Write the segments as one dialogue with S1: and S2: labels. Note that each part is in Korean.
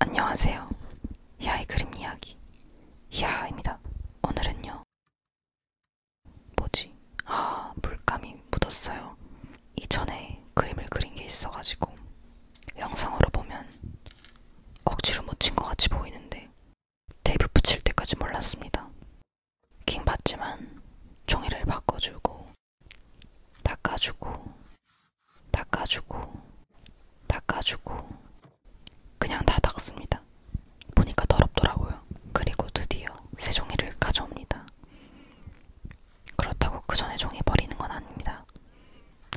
S1: 안녕하세요. 히아의 그림 이야기 히아입니다. 오늘은요. 뭐지? 아, 물감이 묻었어요. 이전에 그림을 그린 게 있어가지고 영상으로 보면 억지로 묻힌 것 같이 보이는데 테이프 붙일 때까지 몰랐습니다. 킹 받지만 종이를 바꿔주고 닦아주고 닦아주고, 닦아주고, 그냥 다 닦습니다. 보니까 더럽더라고요. 그리고 드디어 새 종이를 가져옵니다. 그렇다고 그 전에 종이 버리는 건 아닙니다.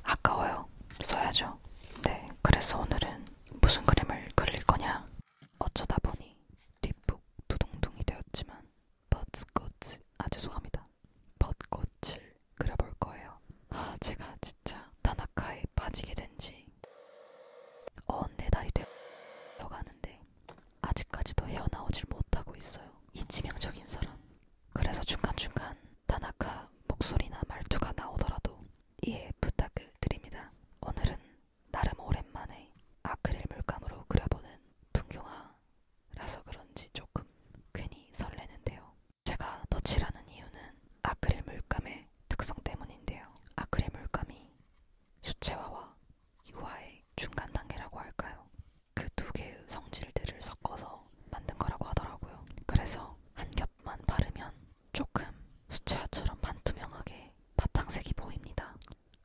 S1: 아까워요. 써야죠. 네, 그래서 오늘은 무슨 그림을 그릴 거냐? 어쩌다 보니 뒷북 두둥둥이 되었지만 버츠코츠 아 죄송합니다. 벚꽃을 그려볼 거예요. 아, 제가 진짜 타나카에 빠지게 된지 언네 달이 되어가는데 아직까지도 헤어나오질 못하고 있어요. 이 치명적인 사람. 그래서 중간중간 타나카 목소리나 말투가 나오더라도 이해 부탁을 드립니다. 오늘은 나름 오랜만에 아크릴 물감으로 그려보는 풍경화라서 그런지 조금 괜히 설레는데요. 제가 너칠하는 이유는 아크릴 물감의 특성 때문인데요. 아크릴 물감이 수채화와 유화의 중간 단계라고 할까요? 그 두 개의 성질들을 섞어서 만든 거라고 하더라고요. 그래서 한 겹만 바르면 조금 수채화처럼 반투명하게 바탕색이 보입니다.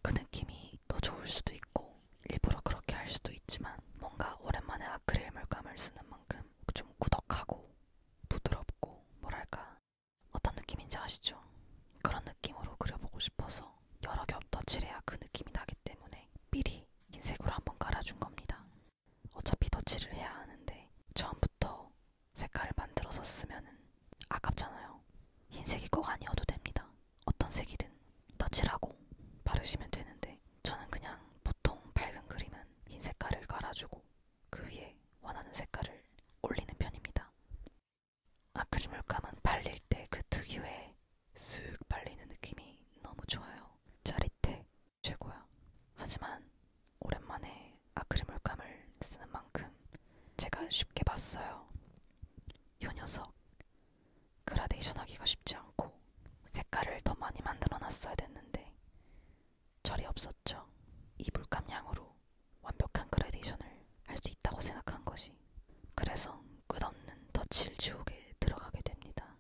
S1: 그 느낌이 더 좋을 수도 있고 일부러 그렇게 할 수도 있지만 뭔가 오랜만에 아크릴 물감을 쓰는 만큼 만큼 좀 꾸덕하고 부드럽고 뭐랄까 어떤 느낌인지 아시죠? 그런 느낌으로 그려보고 싶어서 여러 겹 덧칠해야 그 느낌이 나기 때문에 삘이 흰색으로 한번 갈아준 겁니다. 어차피 덧칠을 해야 하는데 처음부터 색깔을 만들어서 쓰면은 아깝잖아요. 흰색이 꼭 아니어도 됩니다. 어떤 색이든 덧칠하고 바르시면 되는데 저는 그냥 보통 밝은 그림은 흰 색깔을 깔아주고 그 위에 원하는 색깔을 올리는 편입니다. 아크릴 물감은 발릴 때 그 특유의 쓱 발리는 느낌이 너무 좋아요. 짜릿해. 최고야. 하지만 오랜만에 아크릴 물감을 쓰는 만큼 제가 쉽게 봤어요. 요 녀석. 그라데이션 하기가 쉽지 않고 색깔을 더 많이 만들어 놨어야 됐는데 절이 없었죠. 이 물감량으로 완벽한 그라데이션을 할 수 있다고 생각한 것이 그래서 끝없는 덧칠 지옥에 들어가게 됩니다.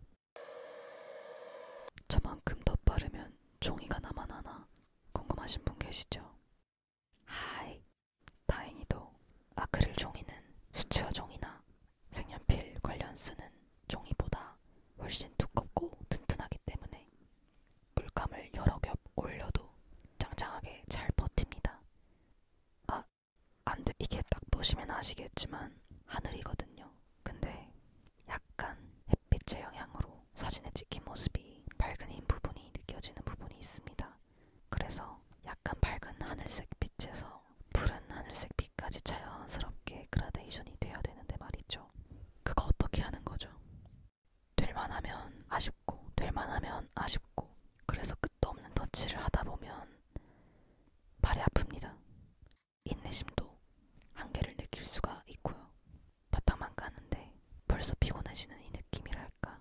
S1: 저만큼 더 빠르면 종이가 남아나나 궁금하신 분 계시죠? 하이! 다행히도 아크릴 종이는 수채화 종이나 색연필 관련쓰는 종이보다 훨씬 두껍고 튼튼하기 때문에 물감을 여러 겹 올려도 짱짱하게 잘 버팁니다. 아, 안 돼. 이게 딱 보시면 아시겠지만 하늘이거든요. 근데 약간 햇빛의 영향으로 사진에 찍힌 모습이 밝은 흰 부분이 느껴지는 부분이 있습니다. 그래서 약간 밝은 하늘색 빛에서 푸른 하늘색 빛까지 자연스럽게 그라데이션이 되어야 되는데 말이죠. 그거 어떻게 하는 거죠? 될만하면 아쉽고, 될만하면 아쉽고, 그래서 끝도 없는 터치를 하다 보면 발이 아픕니다. 인내심도 한계를 느낄 수가 있고요. 바닥만 까는데 벌써 피곤해지는 이 느낌이랄까.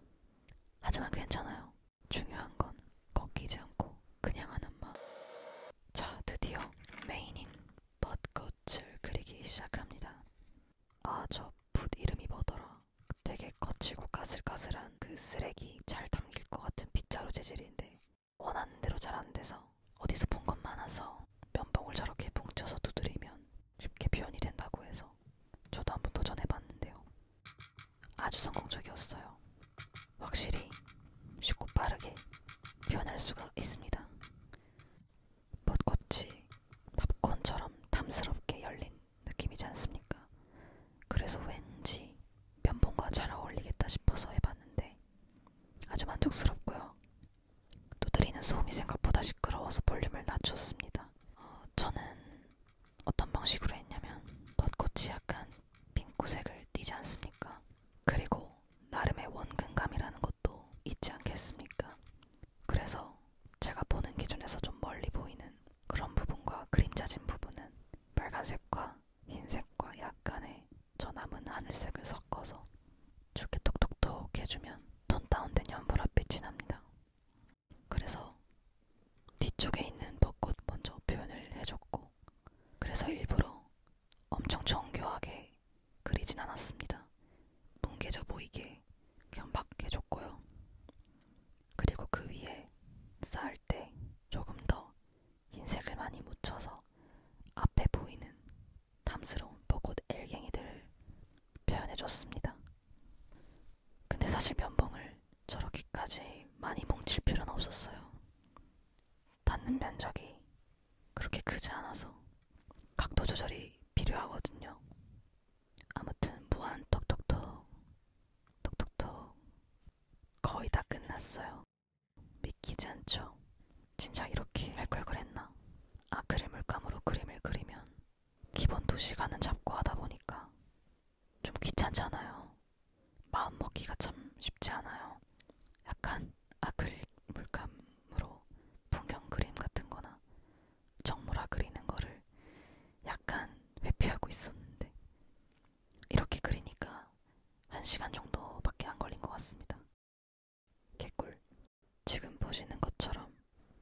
S1: 하지만 괜찮아요. 중요한 건 꺾이지 않고 그냥 하는 마 자, 드디어 메인인 벚꽃을 그리기 시작합니다. 아, 저 붓 이름이 뭐더라? 되게 거칠고 까슬까슬한 그 쓰레기 잘 담길 것 같은 빗자루 재질인데 원하는 대로 잘 안 돼서 어디서 본것 많아서 면봉을 저렇게 뭉쳐서 두드리면 쉽게 표현이 된다고 해서 저도 한번 도전해봤는데요. 아주 성공적이었어요. 확실히 쉽고 빠르게 표현할 수가 있습니다. 벚꽃이 팝콘처럼 탐스럽게 열린 느낌이지 않습니까? 그래서 왠지 면봉과 잘 어울리겠다 싶어서 해봤는데 아주 만족스럽고요. 두드리는 소음이 생각보다 시끄러워서 볼륨을 낮췄습니다. 어, 저는 어떤 방식으로 했냐면 벚꽃이 약간 핑크색을 띠지 않습니까? 그리고 나름의 원근감이라는 것도 있지 않겠습니까? 그래서 제가 보는 기준에서 좀 멀리 보이는 그런 부분과 그림자진 부분은 빨간색과 흰색과 약간의 저 남은 하늘색을 섞어서 저렇게 톡톡톡 해주면 톤 다운된 연보라빛이 납니다. 그래서 뒤쪽에 있는 벚꽃 먼저 표현을 해줬고, 그래서 일부러 엄청 정교하게 그리진 않았습니다. 뭉개져 보이게 그냥 막 해줬고요. 그리고 그 위에 쌓을 때 조금 더 흰색을 많이 묻혀서 앞에 보이는 탐스러운 벚꽃 엘갱이들을 표현해줬습니다. 근데 사실 면봉을 저렇게까지 많이 뭉칠 필요는 없었어요. 받는 면적이 그렇게 크지 않아서 각도 조절이 필요하거든요. 아무튼 무한 톡톡톡 톡톡톡 거의 다 끝났어요. 믿기지 않죠? 진짜 이렇게 할 걸 그랬나? 아크릴 물감으로 그림을 그리면 기본 두 시간은 잡고 하다 보니까 좀 귀찮잖아요. 마음 먹기가 참 쉽지 않아요. 약간 아크릴 물감으로 풍경 그림 같은 거나 정물화 그리는 거를 약간 회피하고 있었는데 이렇게 그리니까 1시간 정도밖에 안 걸린 것 같습니다. 개꿀. 지금 보시는 것처럼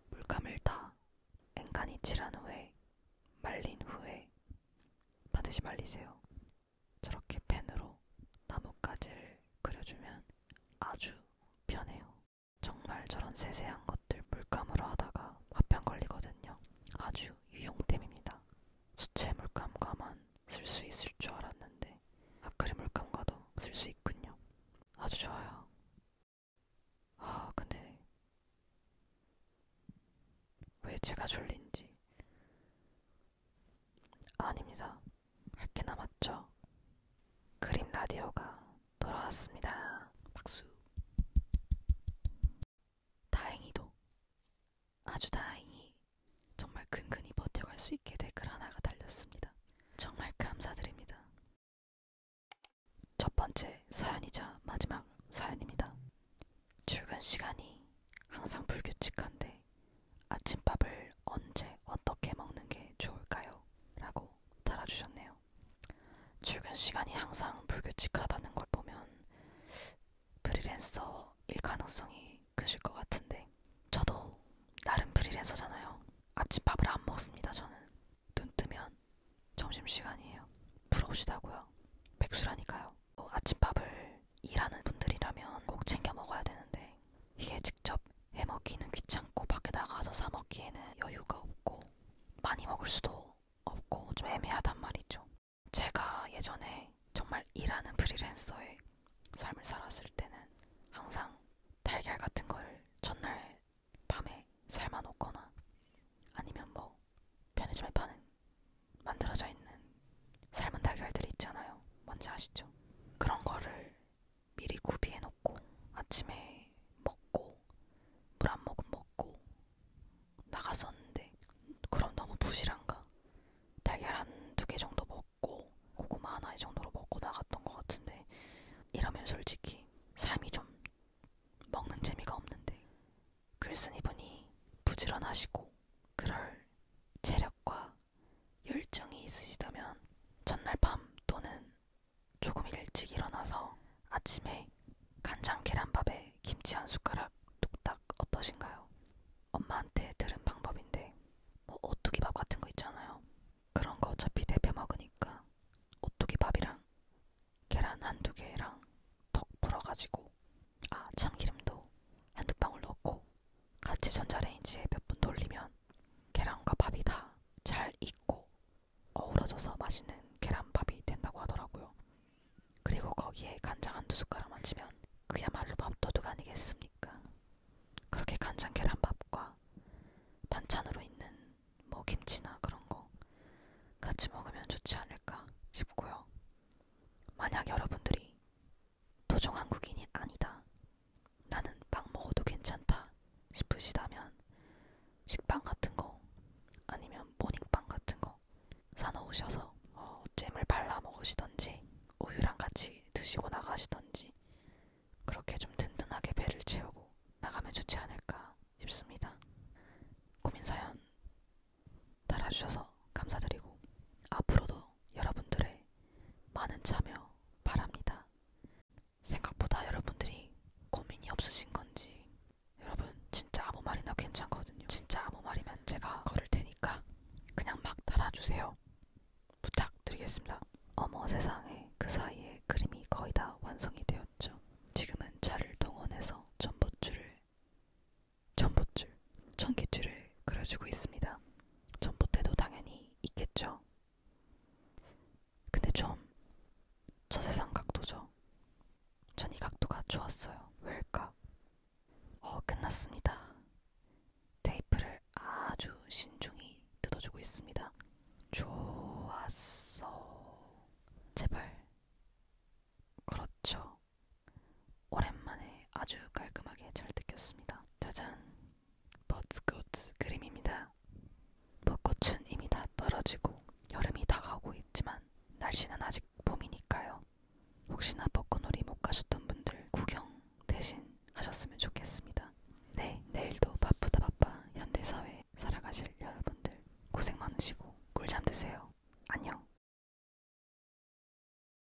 S1: 물감을 다 앵간히 칠한 후에 말린 후에 반드시 말리세요. 저렇게 펜으로 나뭇가지를 그려주면 아주 편해요. 정말 저런 세세한 것들 물감으로 하다가 화병 걸리거든요. 아주 유용템입니다. 수채 물감과만 쓸 수 있을 줄 알았는데 아크릴 물감과도 쓸 수 있군요. 아주 좋아요. 아 근데 왜 제가 졸린지 아닙니다. 할게 남았죠? 그림 라디오가 돌아왔습니다. 박수. 다행히도 아주 다행히 정말 근근히 버텨갈 수 있게 댓글 하나가 달렸습니다. 정말 감사드립니다. 첫 번째 사연이자 마지막 사연입니다. 출근 시간이 항상 불규칙한데 아침밥을 언제 어떻게 먹는 게 좋을까요? 라고 달아주셨네요. 출근 시간이 항상 불규칙하다는 걸 보면 프리랜서일 가능성이 크실 것 같은데 저도 나름 프리랜서잖아요. 아침밥을 안 먹습니다. 저는 눈 뜨면 점심시간이에요. 부러우시다고요? 백수라니까요. 뭐 아침밥을 일하는 분들이라면 꼭 챙겨 먹어야 되는데 이게 직접 해먹기는 귀찮고 밖에 나가서 사 먹기에는 여유가 없고 많이 먹을 수도 없고 좀 애매하단 말이죠. 제가 예전에 정말 일하는 프리랜서의 삶을 살았을 때는 항상 달걀 같은 걸 전날 밤에 삶아 놓거나 아니면 뭐 편의점에 파는 만들어져 있는 삶은 달걀들이 있잖아요. 뭔지 아시죠? 그런 거를 미리 구비해 놓고 아침에 먹고 물 한 모금 먹고 나갔었는데 그럼 너무 부실한가? 달걀 한 두 개 정도 먹고 고구마 하나 정도로 먹고 나갔던 것 같은데 이러면 솔직히 삶이 좀 먹는 재미가 없는데 글쓴 이분이 부지런하시고 그럴 체력과 열정이 있으시다면 전날 밤 또는 조금 일찍 일어나서 아침에 간장 계란밥에 김치 한 숟가락 뚝딱 어떠신가요? 엄마한테 들은 방법인데 뭐 오뚜기밥 같은 거 있잖아요. 그런 거 어차피 대표 먹으니까 오뚜기밥이랑 계란 한두 개랑 턱 풀어가지고 아 참기름도 한두 방울 넣고 같이 전자레인지에 몇 분 돌리면 계란과 밥이 다 잘 익고 어우러져서 맛있는 계란밥이 된다고 하더라고요. 그리고 거기에 간장 한 두 숟가락만 치면 그야말로 밥도둑 아니겠습니까? 그렇게 간장 계란밥과 반찬으로 있는 뭐 김치나 그런 거 같이 먹으면 좋지 않을까 싶고요. 만약 여러분들이 토종 한국인이 아니다. 나는 빵 먹어도 괜찮다 싶으시다면 식빵 같은 거 아니면 모닝빵 같은 거 사놓으셔서 어, 잼을 발라 먹으시던지 우유랑 같이 드시고 나가시던지 그렇게 좀 든든하게 배를 채우고 나가면 좋지 않을까 싶습니다. 고민사연 따라주셔서 감사드리고 앞으로도 여러분들의 많은 참여 바랍니다. 생각보다 여러분들이 고민이 없으신 건지 여러분 진짜 아무 말이나 괜찮거든요. 진짜 아무 말이면 제가 걸을 테니까 그냥 막 달아주세요. 부탁드리겠습니다. 어머 세상에 그 사이에 그림이 거의 다 완성이 되었죠. 지금은 차를 동원해서 전봇줄을 전봇줄, 전기줄을 그려주고 있습니다. 전봇대도 당연히 있겠죠. 근데 좀 저세상 각도죠. 전 이 각도가 좋았어요. 왜일까? 어, 끝났습니다. 테이프를 아주 신중히 뜯어주고 있습니다. 좋았어. 제발. 그렇죠. 오랜만에 아주 깔끔하게 잘 뜯겼습니다. 짜잔! 벚꽃 그림입니다. 벚꽃은 이미 다 떨어지고 여름이 다가오고 있지만 날씨는 아직 봄이니까요. 혹시나 벚꽃놀이 못 가셨던 분들 구경 대신 하셨으면 좋겠습니다. 네, 내일도 바쁘다 바빠 현대사회에 살아가실 여러분들 고생 많으시고 꿀잠 드세요. 안녕.